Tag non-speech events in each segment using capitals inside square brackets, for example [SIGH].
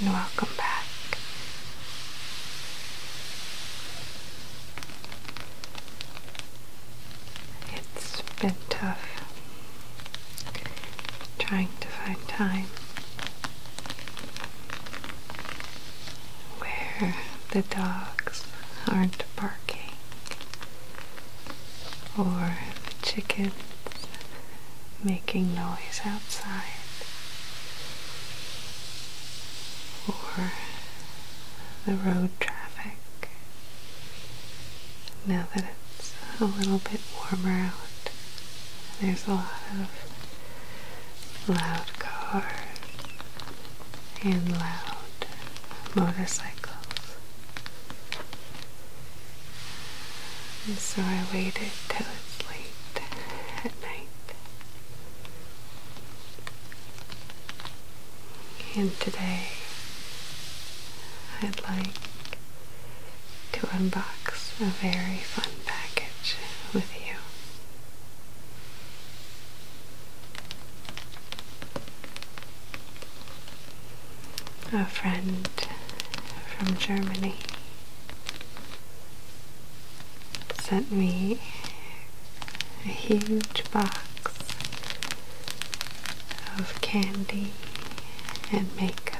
and welcome back. It's been tough trying to find time where the dogs aren't barking or the chickens making noise outside or the road traffic. Now that it's a little bit warmer out, there's a lot of loud cars and loud motorcycles. And so I waited till it's late at night. And today I'd like to unbox a very fun package with you. A friend from Germany sent me a huge box of candy and makeup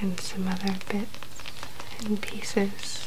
and some other bits and pieces.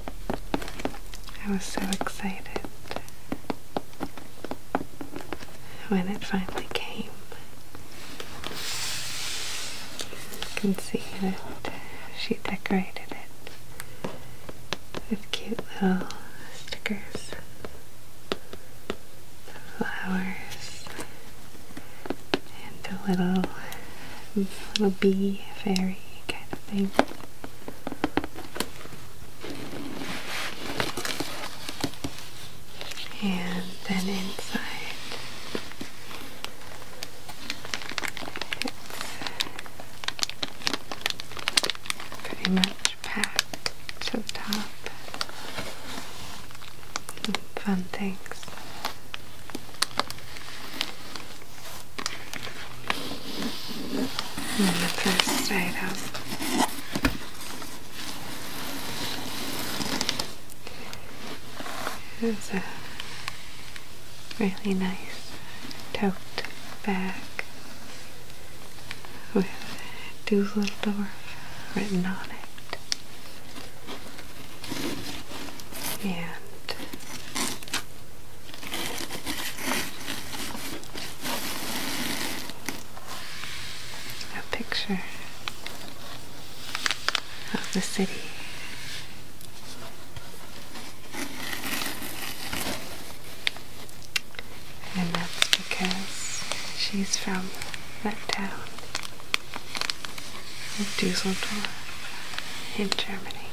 I was so excited when it finally came. You can see that she decorated it with cute little stickers, flowers, and a little, little bee fairy kind of thing and then inside it's pretty much packed to the top. Fun things. On the first side up. It's a really nice tote bag with Doodledorf written on it. And a picture of the city. And that's because she's from that town Dusseldorf in Germany.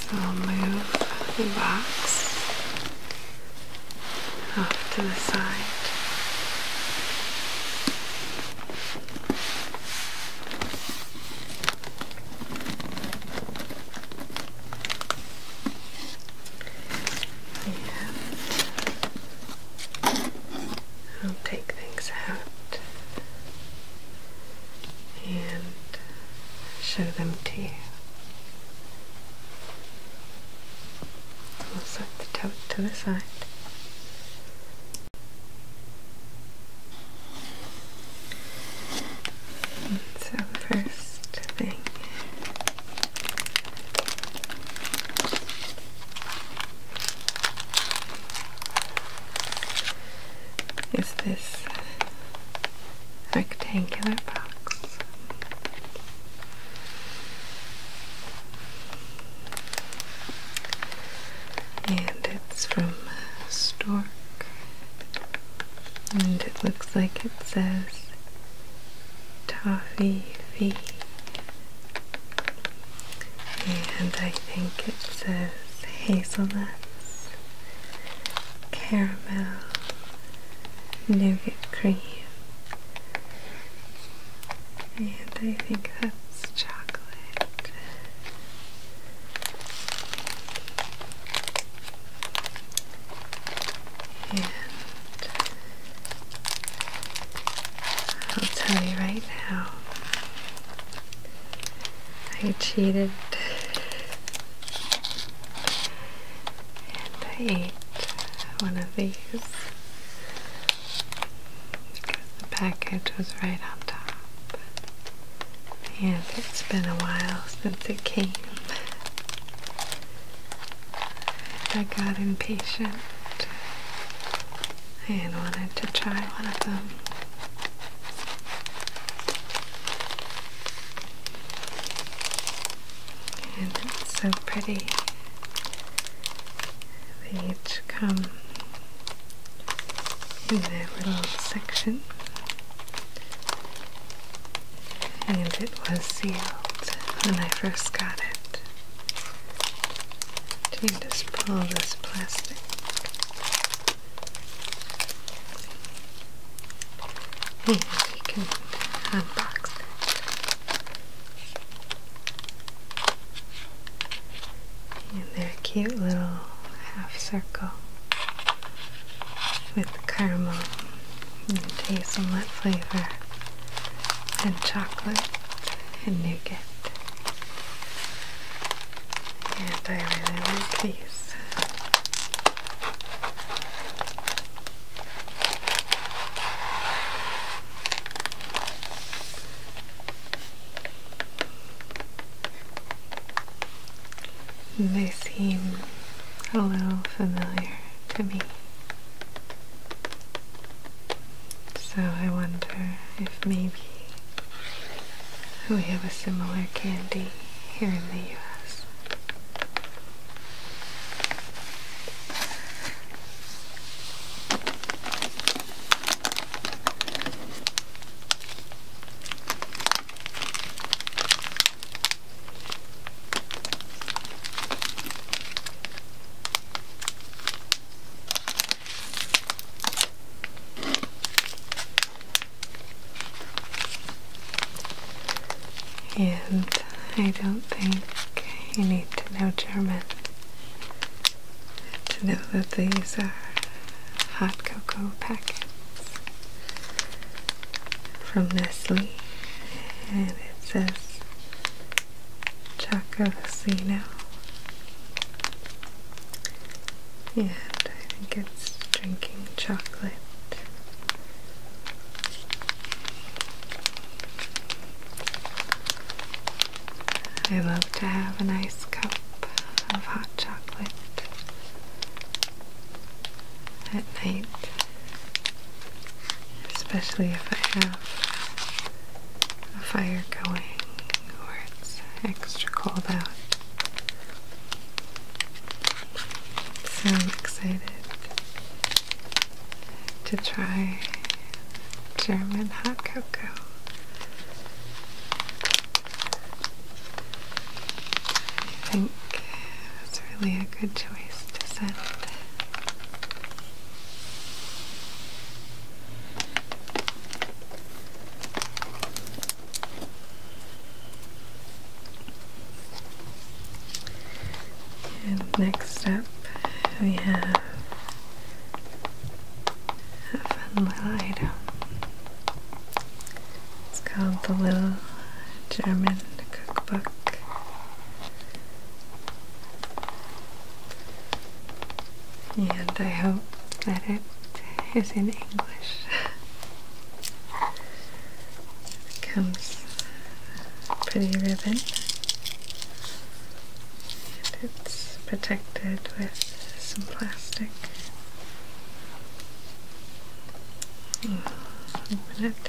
So I'll move the box off to the side. And I'll take things out and show them to you. We'll set the tote to the side. so first thing is this rectangular box. And it's from uh, Stork. And it looks like it says Toffee V and I think it says hazelnuts, caramel, nougat cream, and I think that's chocolate. And I'll tell you right now. I cheated and I ate one of these because the package was right on top. And it's been a while since it came. I got impatient and wanted to try one of them. And it's so pretty. They each come in their little section. And it was sealed when I first got it and just pull this plastic. And you can unbox it. And they're cute little half circle with caramel and hazelnut flavor and chocolate and nougat. And I really like these. they seem a little familiar to me. So I wonder if maybe we have a similar candy here in the US. And I don't think you need to know German to know that these are hot cocoa packets from Nestle. And it says chakra now. And I think it's drinking chocolate. I love to have a nice cup of hot chocolate at night, especially if I have a fire going or it's extra cold out. So excited to try German hot cocoa. I think it's really a good choice to send next up, we have a It's called the Little German Cookbook. And I hope that it is in English. comes pretty ribbon. And it's protected with some plastic. Open it.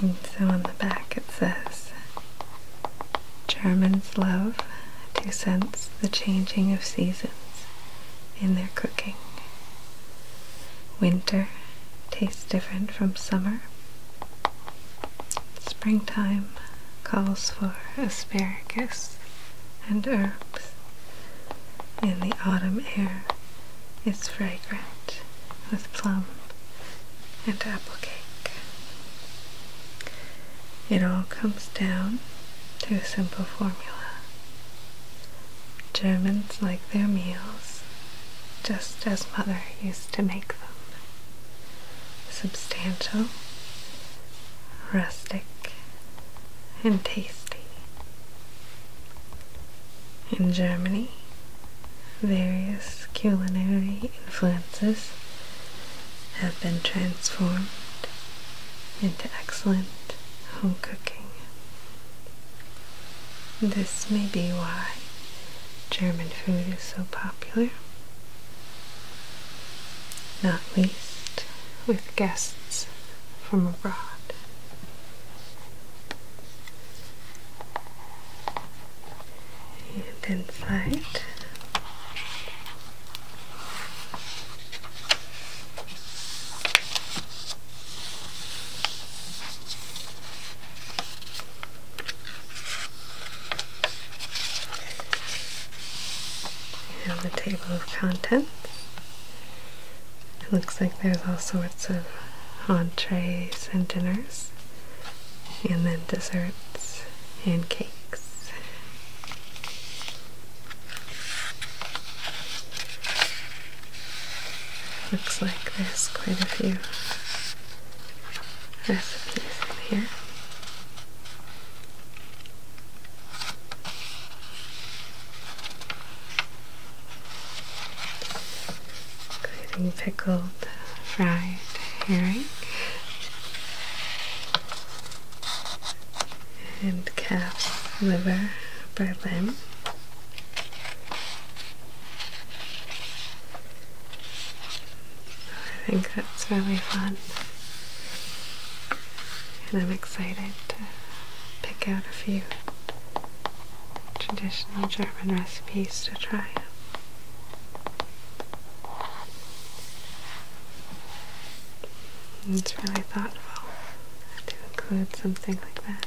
And so on the back it says Germans love to sense the changing of seasons in their cooking. Winter tastes different from summer. Springtime calls for asparagus and herbs. In the autumn air is fragrant with plum and apple cake. It all comes down to a simple formula. Germans like their meals just as mother used to make them substantial, rustic, and tasty. In Germany, various culinary influences have been transformed into excellent home cooking. This may be why German food is so popular not least with guests from abroad. And inside and the table of contents. It looks like there's all sorts of entrees and dinners, and then desserts and cakes. Looks like there's quite a few recipes here. Including pickled fried herring and calf liver berlin. I think that's really fun. And I'm excited to pick out a few traditional German recipes to try. It's really thoughtful to include something like that.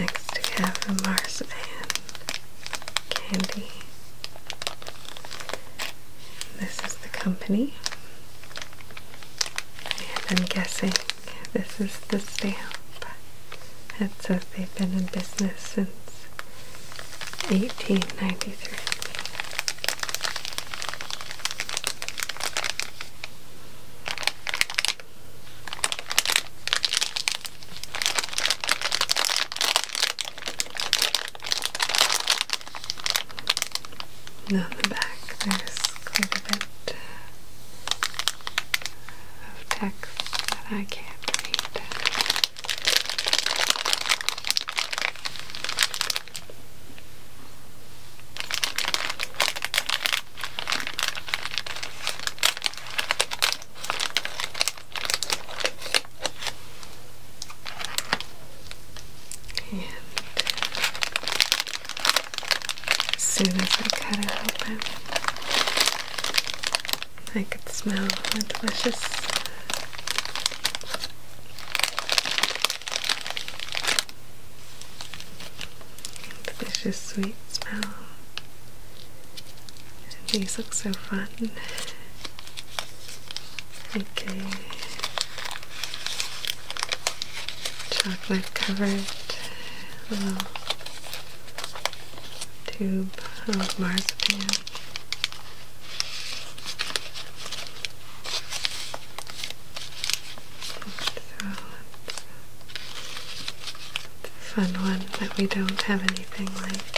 Next we have a marzipan candy. This is the company. And I'm guessing this is the stamp. It says they've been in business since 1893. And the back, there's quite a bit uh, of text that I can't read. And as soon as I cut it open, I could smell the delicious Delicious sweet smell. These look so fun. Okay. Chocolate covered tube of marshmallow. Fun one that we don't have anything like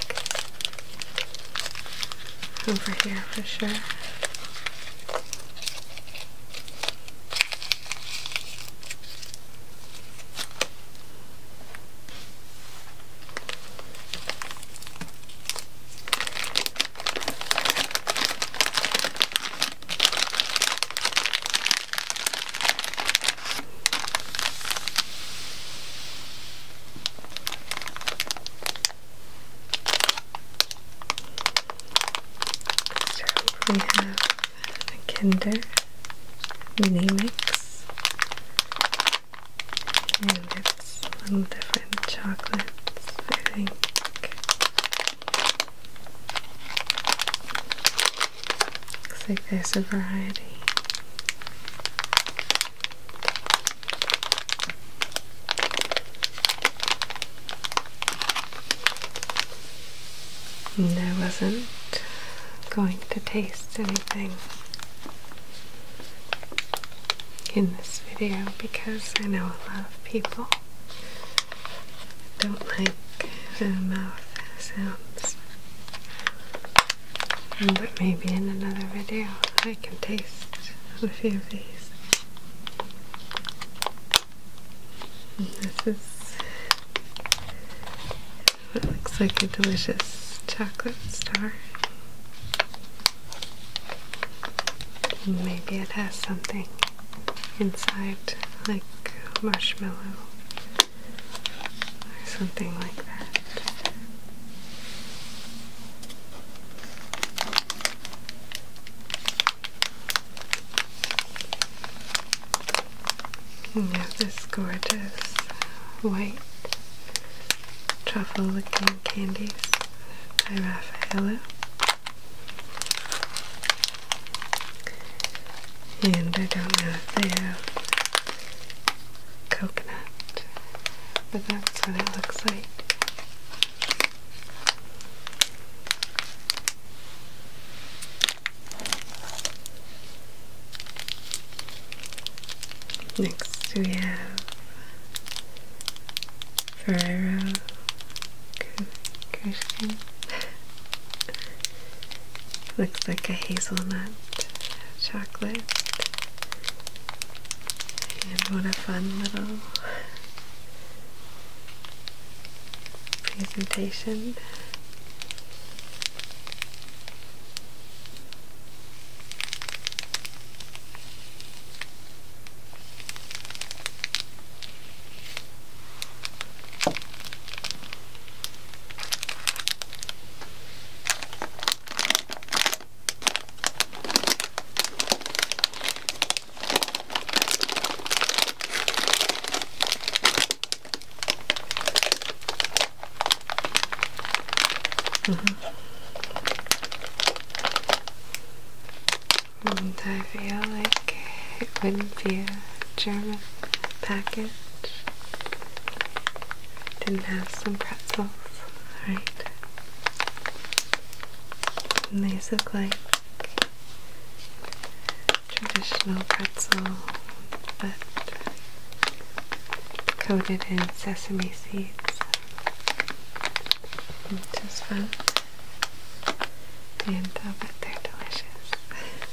over here for sure we have a Kinder Mini Mix, and it's a little different chocolates, I think. Looks like there's a variety. And I wasn't going to taste anything in this video because I know a lot of people don't like the mouth sounds. Mm, but maybe in another video I can taste a few of these. Mm, this is looks like a delicious chocolate star. Maybe it has something inside, like marshmallow or something like that. And you have this gorgeous white truffle looking candies by Raffaello. And I don't know if they have coconut, but that's what it looks like. Next we have Ferrero Cushing. [LAUGHS] Looks like a hazelnut chocolate. And what a fun little presentation. -hmm. I feel like it wouldn't be German package. Didn't have some pretzels. Alright. And these look like traditional pretzel, but coated in sesame seeds, which fun. And i uh, bet they're delicious. [LAUGHS]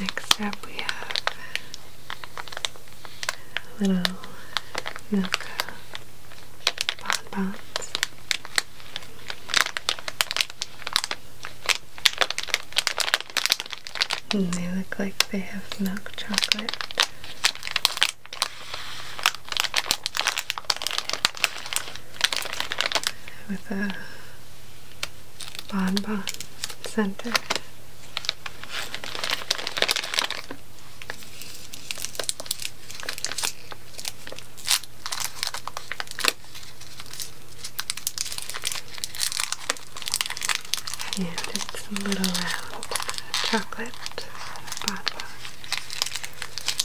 Next up, we have little milk bonbons. And they look like they have milk chocolate with a bonbon center. And it's a little round chocolate bonbon.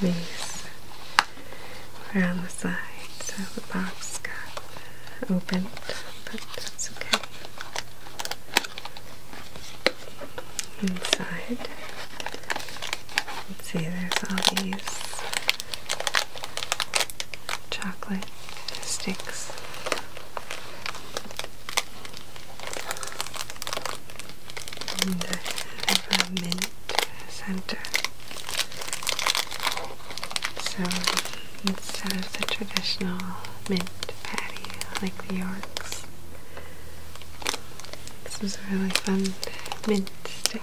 These are the side, so the box got opened, but that's okay. Inside Let's see, there's all these chocolate sticks. And the have center. So instead of the traditional mint patty like the Yorks, this was a really fun mint stick.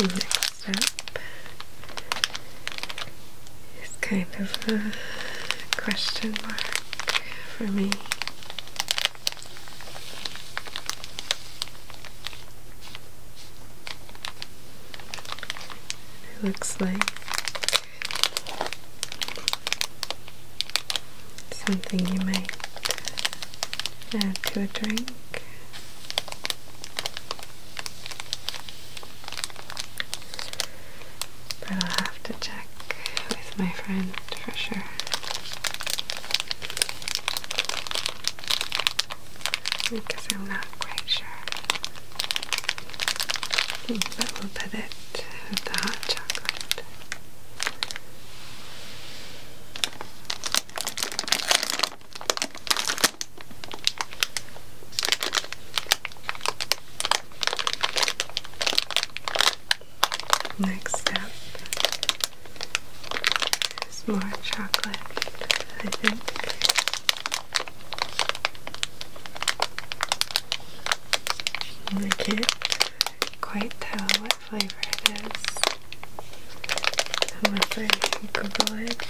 Next up is kind of a question mark for me. It looks like something you might add to a drink. But I'll have to check with my friend for sure. Because I'm not quite sure. Hmm, but we'll put it with the hot chocolate. Next up is more chocolate, I think. I can't quite tell what flavor it is. However, you can Google it.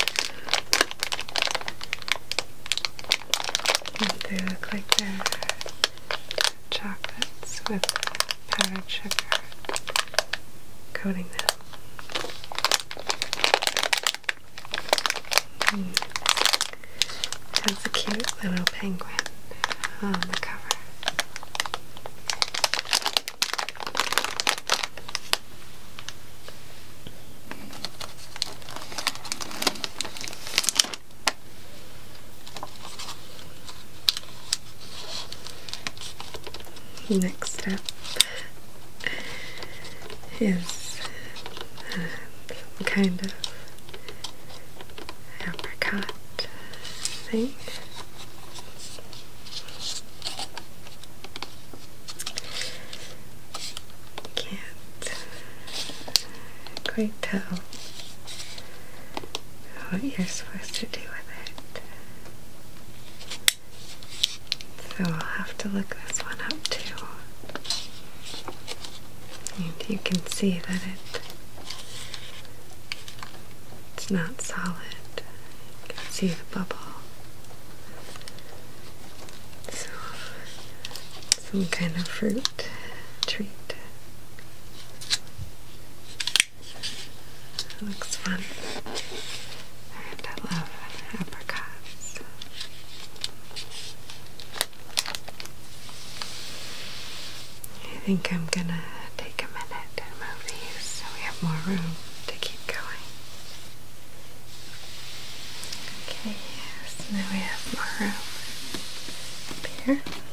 And they look like they're chocolates with powdered sugar coating them. That's hmm. a cute little penguin it oh, on the cover. Next up is some uh, kind of apricot thing. Can't quite tell what you're supposed to do with it. So I'll have to look this one up too. And you can see that it it's not solid. You can see the bubble. some kind of fruit treat. looks fun. And I love apricots. I think I'm gonna take a minute and move these so we have more room to keep going. Okay, so now we have more room up here.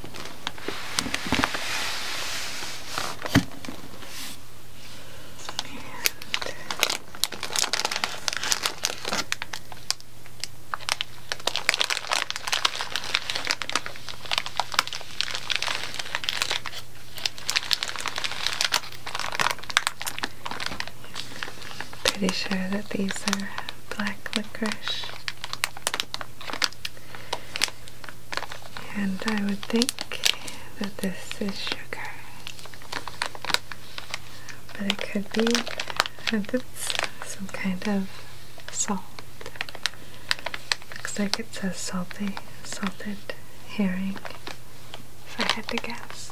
Pretty sure that these are black licorice. And I would think that this is sugar. But it could be that it's some kind of salt. Looks like it says salty, salted herring, if I had to guess.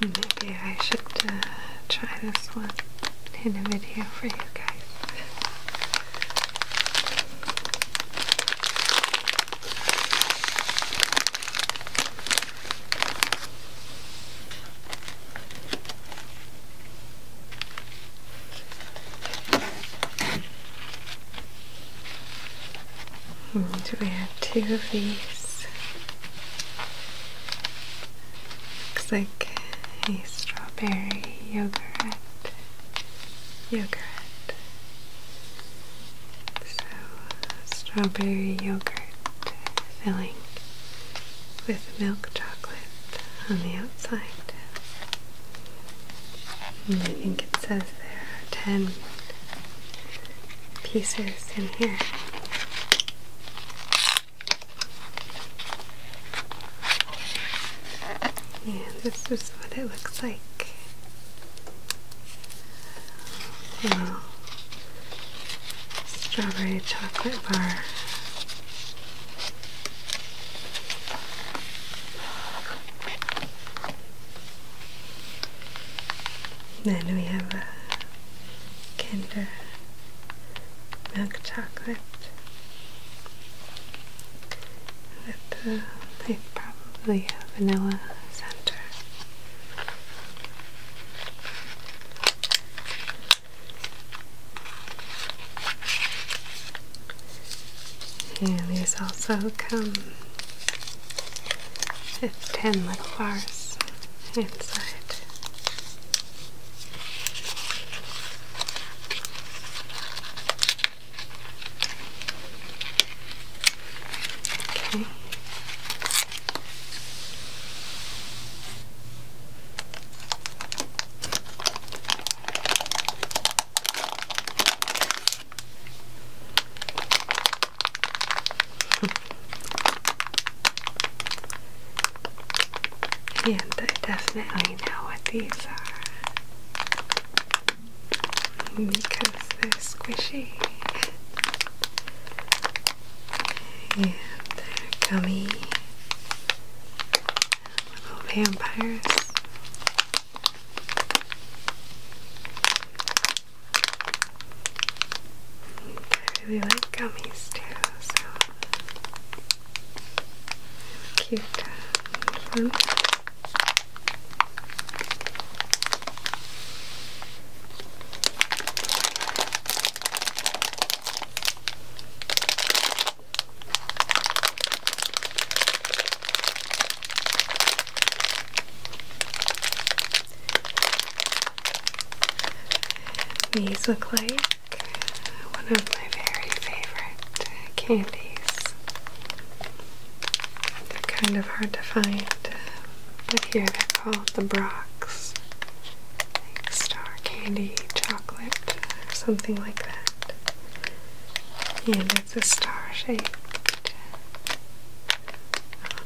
Maybe I should uh, try this one in a video for you guys. And hmm, we have two of these. Looks like a strawberry yogurt. Yogurt. So, strawberry yogurt filling with milk chocolate on the outside. And I think it says there are 10 pieces in here. And this is what it looks like. A strawberry chocolate bar then we have a Kinder milk chocolate with probably a vanilla center. And these also come with 10 little bars inside. Okay and [LAUGHS] I definitely know what these are because they're squishy and they're gummy Little vampires. I really like gummies too, so cute. These look like one of my very favorite candies. They're kind of hard to find, but here they're called the Brock's Star Candy or something like that. And it's a star shaped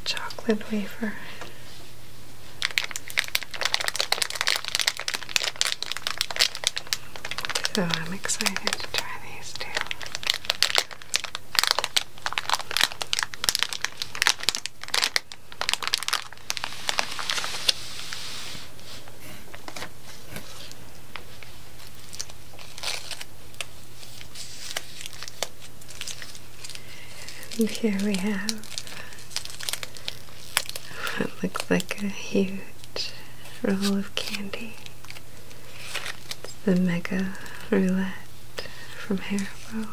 chocolate wafer. So I'm excited to try these too. And here we have what looks like a huge roll of candy. It's the Mega Roulette from Haribo.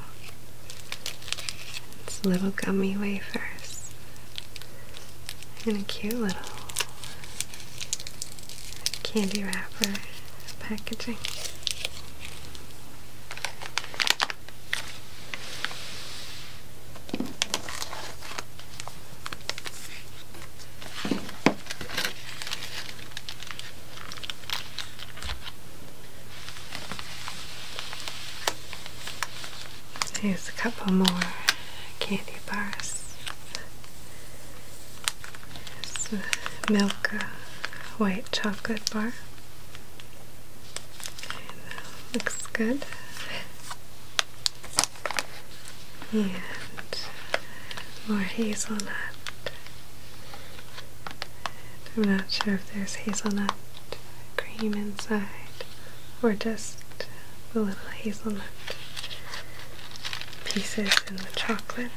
It's little gummy wafers and a cute little candy wrapper packaging. Here's a couple more candy bars it's a milk uh, white chocolate bar looks good and more hazelnut I'm not sure if there's hazelnut cream inside or just the little hazelnut pieces in the chocolate.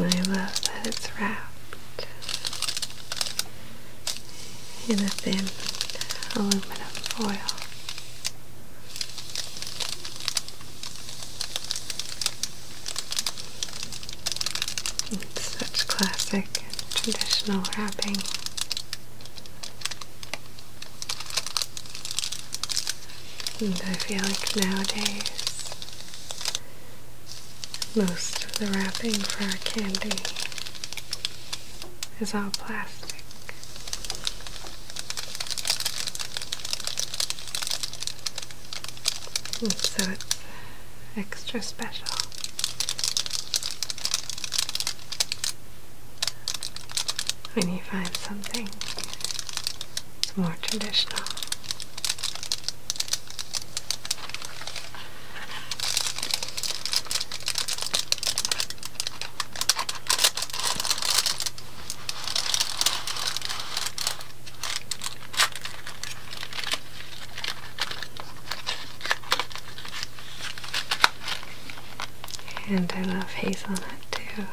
I love that it's wrapped in a thin aluminum foil. such classic traditional wrapping. I feel like nowadays most of the wrapping for our candy is all plastic. so it's extra special. When you find something it's more traditional. And I love hazelnut too,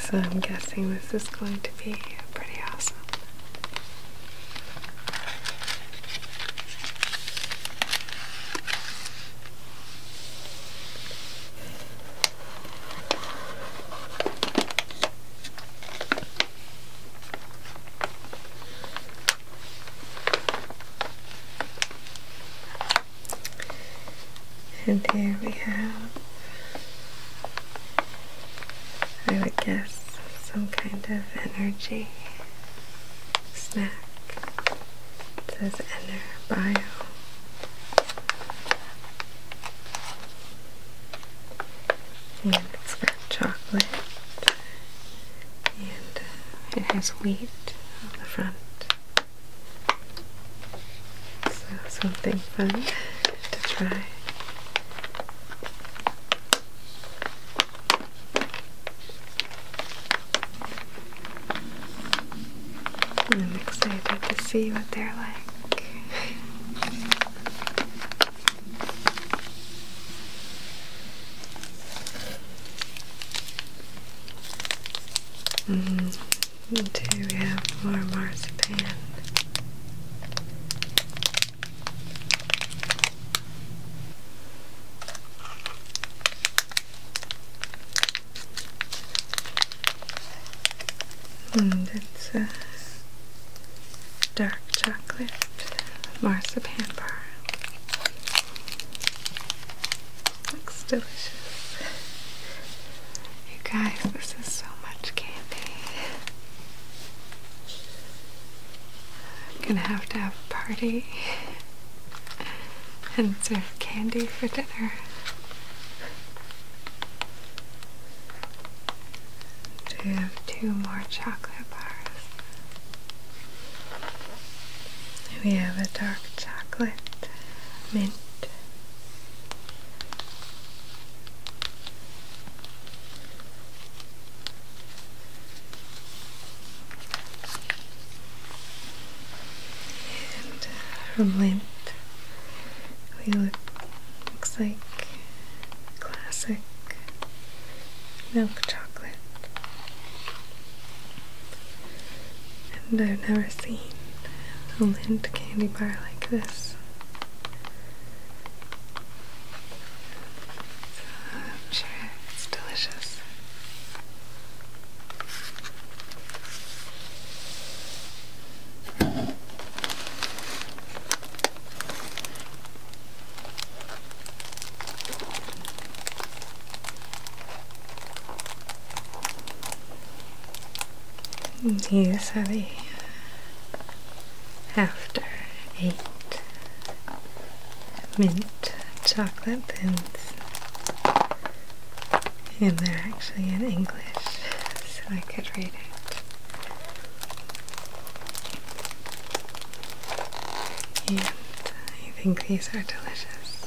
so I'm guessing this is going to would be pretty awesome. And here we have I would guess some kind of energy snack. It says Ener Bio. And it's got chocolate. And uh, it has wheat on the front. So something fun to try. I'm excited to see what they're like. -hmm. And we have more marzipan. Hmm, that's a dark chocolate marzipan pamper. Looks delicious. You guys, this is so much candy. I'm gonna have to have a party and serve candy for dinner. Do you have two more chocolate bars? We have a dark chocolate, mint, and from uh, length, we look looks like classic milk chocolate. And I've never seen a Lindt candy bar like this. I'm sure it's delicious. These are the after eight mint chocolate pins. And they're actually in English, so I could read it. And I think these are delicious.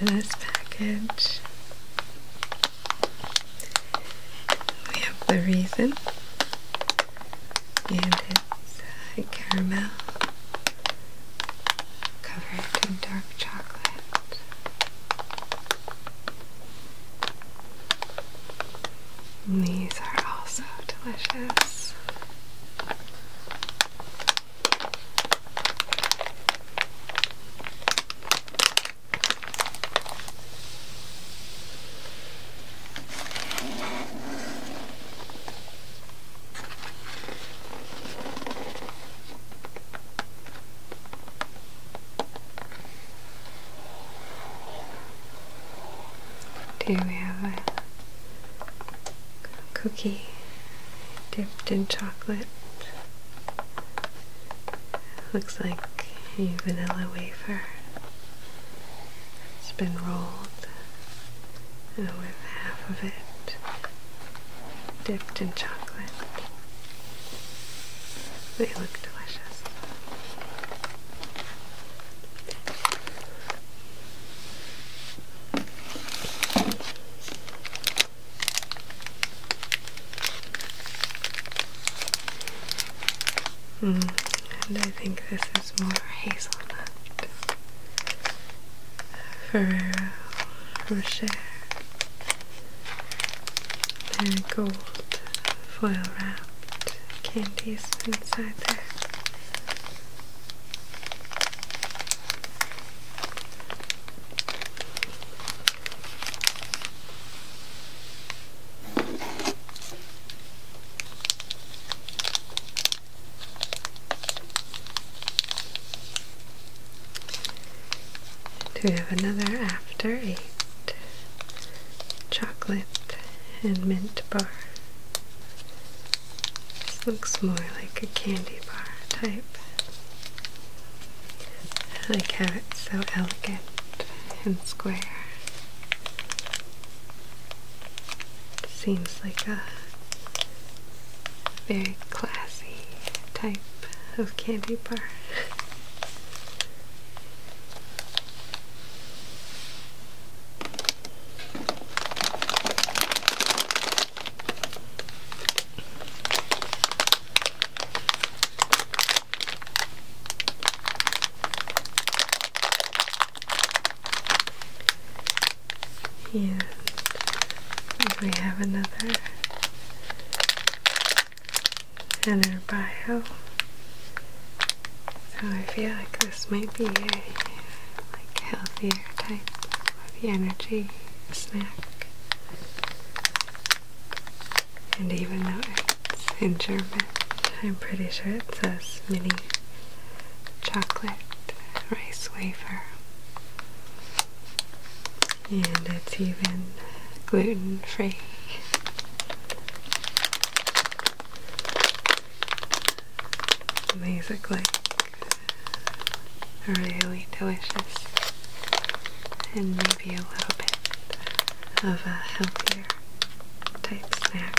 Into this package, we have the reason, and it's a caramel covered in dark chocolate these are also delicious. Here we have a cookie dipped in chocolate. Looks like a vanilla wafer. It's been rolled and with half of it dipped in chocolate. They look delicious. Mm, and I think this is more hazelnut uh, for Rocher uh, gold foil wrapped candies inside there. Do we have another after eight chocolate and mint bar. This looks more like a candy bar type. I like how it's so elegant and square. seems like a very classy type of candy bar. [LAUGHS] And we have another and her bio. So I feel like this might be a healthier type of energy snack. And even though it's in German, I'm pretty sure it says mini chocolate rice wafer. And it's even gluten free. And really delicious and maybe a little bit of a healthier type snack.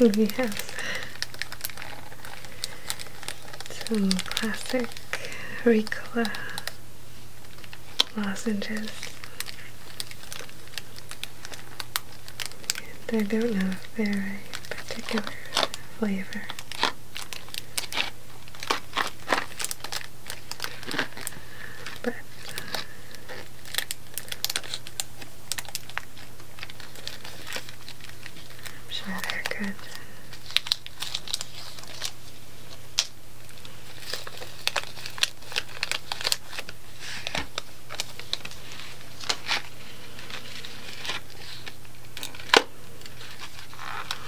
And uh, we have some classic Ricola lozenges. And I don't know if they're a particular flavor. But uh, I'm sure they're good.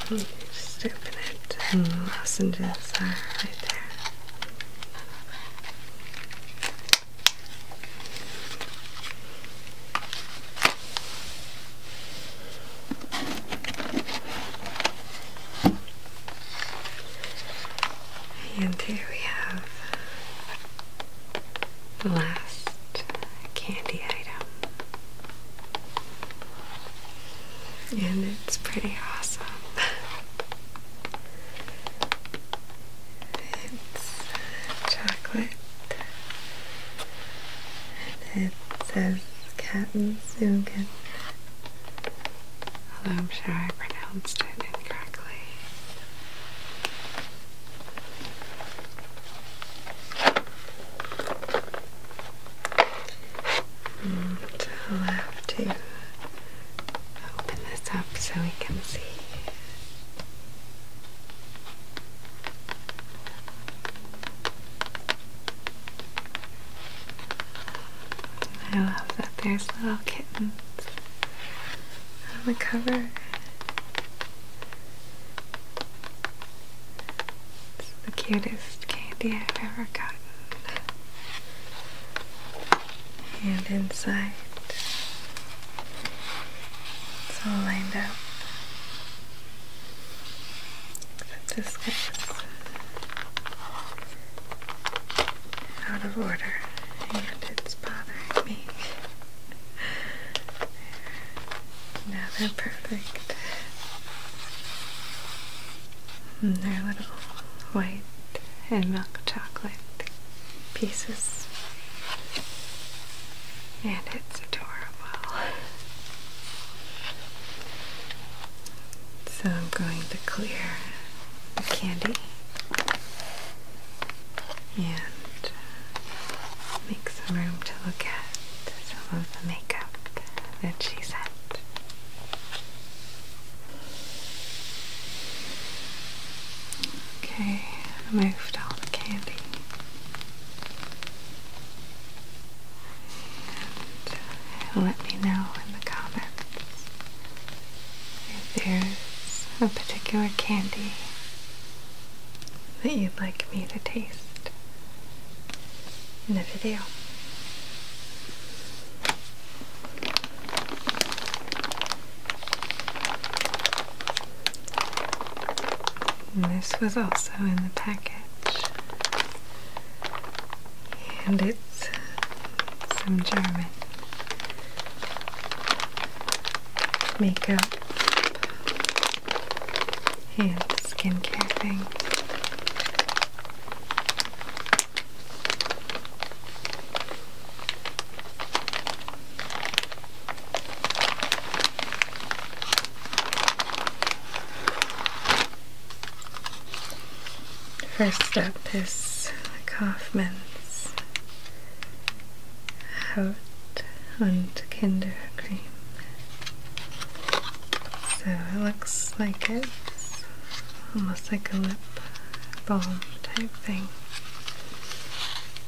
just open it and lozenges are right there. And here we have the last candy item. And it's pretty awesome. [LAUGHS] It's chocolate. And it says Katzenzugen. Although I'm sure I pronounced it incorrectly. And I'll have to open this up so we can see I love that there's little kittens on the cover. It's the cutest candy I've ever gotten. And inside it's all lined up. Except this out of order and it's bothering me. now they're perfect. And they're little white and milk chocolate pieces. And it's adorable. So I'm going to clear the candy and make some room to look at some of the makeup that she sent. Okay, I moved all the candy. Uh, let me know in the comments if there's a particular candy that you'd like me to taste in the video. And this was also in the package. And it's some German makeup and skincare thing. First up is Kaufman's Haut und Kindercream. So it looks like it's almost like a lip balm type thing.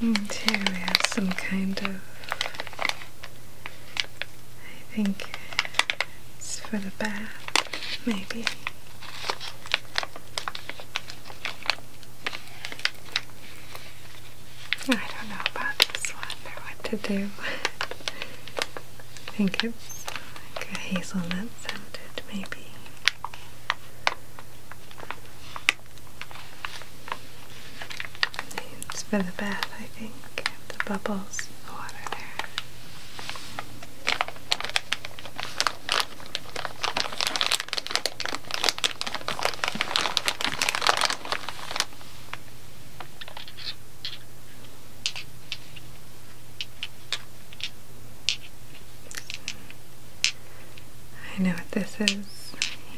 And here we have some kind of. I think it's for the bath, maybe. I don't know about this one or what to do. [LAUGHS] I think it's like a hazelnut scented, maybe. It's for the bath, I think. The bubbles, the water there. I know what this is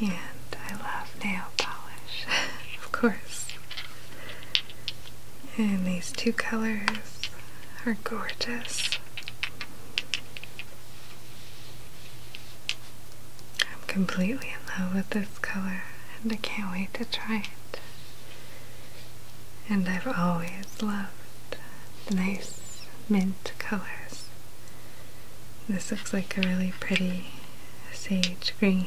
and I love nail polish, [LAUGHS] of course. And these two colors are gorgeous. I'm completely in love with this color and I can't wait to try it. And I've always loved the nice mint colors. This looks like a really pretty sage green.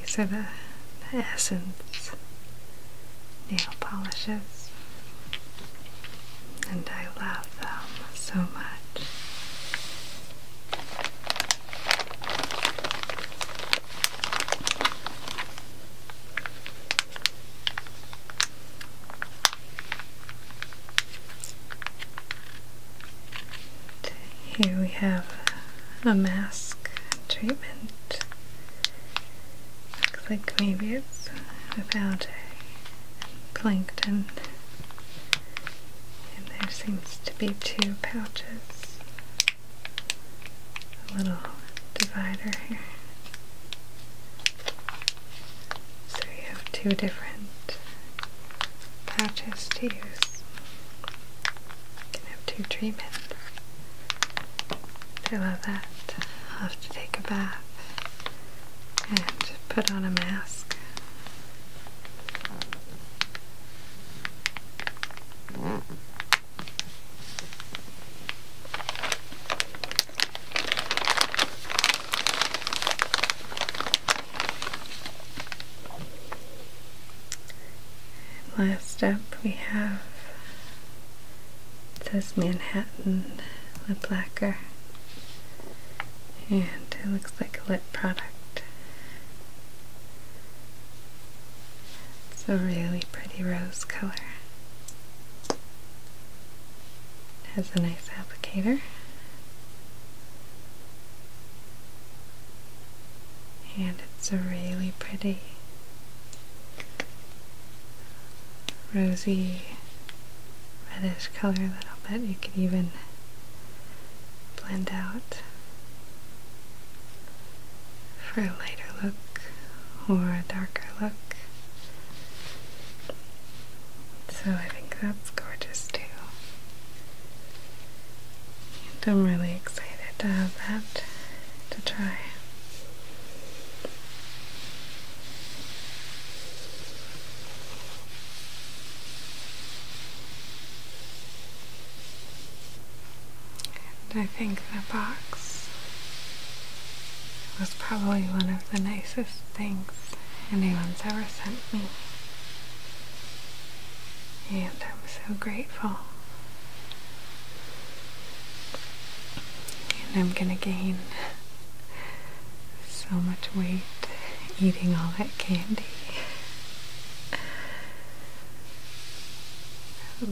These are the, Essence nail polishes, and I love them so much. Here we have a mask treatment. Looks like maybe it's about a plankton. And there seems to be two pouches. A little divider here. So you have two different patches to use. You can have two treatments. I love that. I'll have to take a bath and put on a mask last up we have this Manhattan lip lacquer and it looks like a lip product. It's a really pretty rose color. It has a nice applicator and it's a really pretty rosy reddish color that I'll bet you could even blend out for a lighter look or a darker look so I think that's gorgeous too. And I'm really excited to have that to try. I think the box was probably one of the nicest things anyone's ever sent me. And I'm so grateful. And I'm gonna gain so much weight eating all that candy.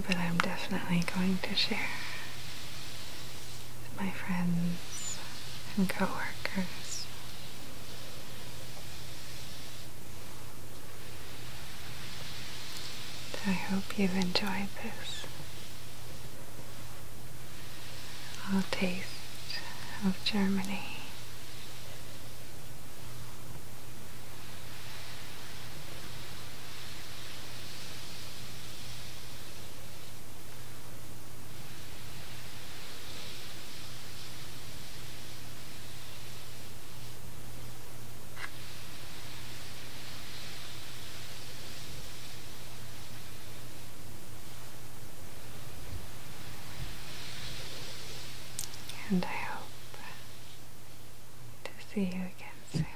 But I'm definitely going to share my friends and coworkers. I hope you've enjoyed this little taste of Germany. And I hope to see you again soon.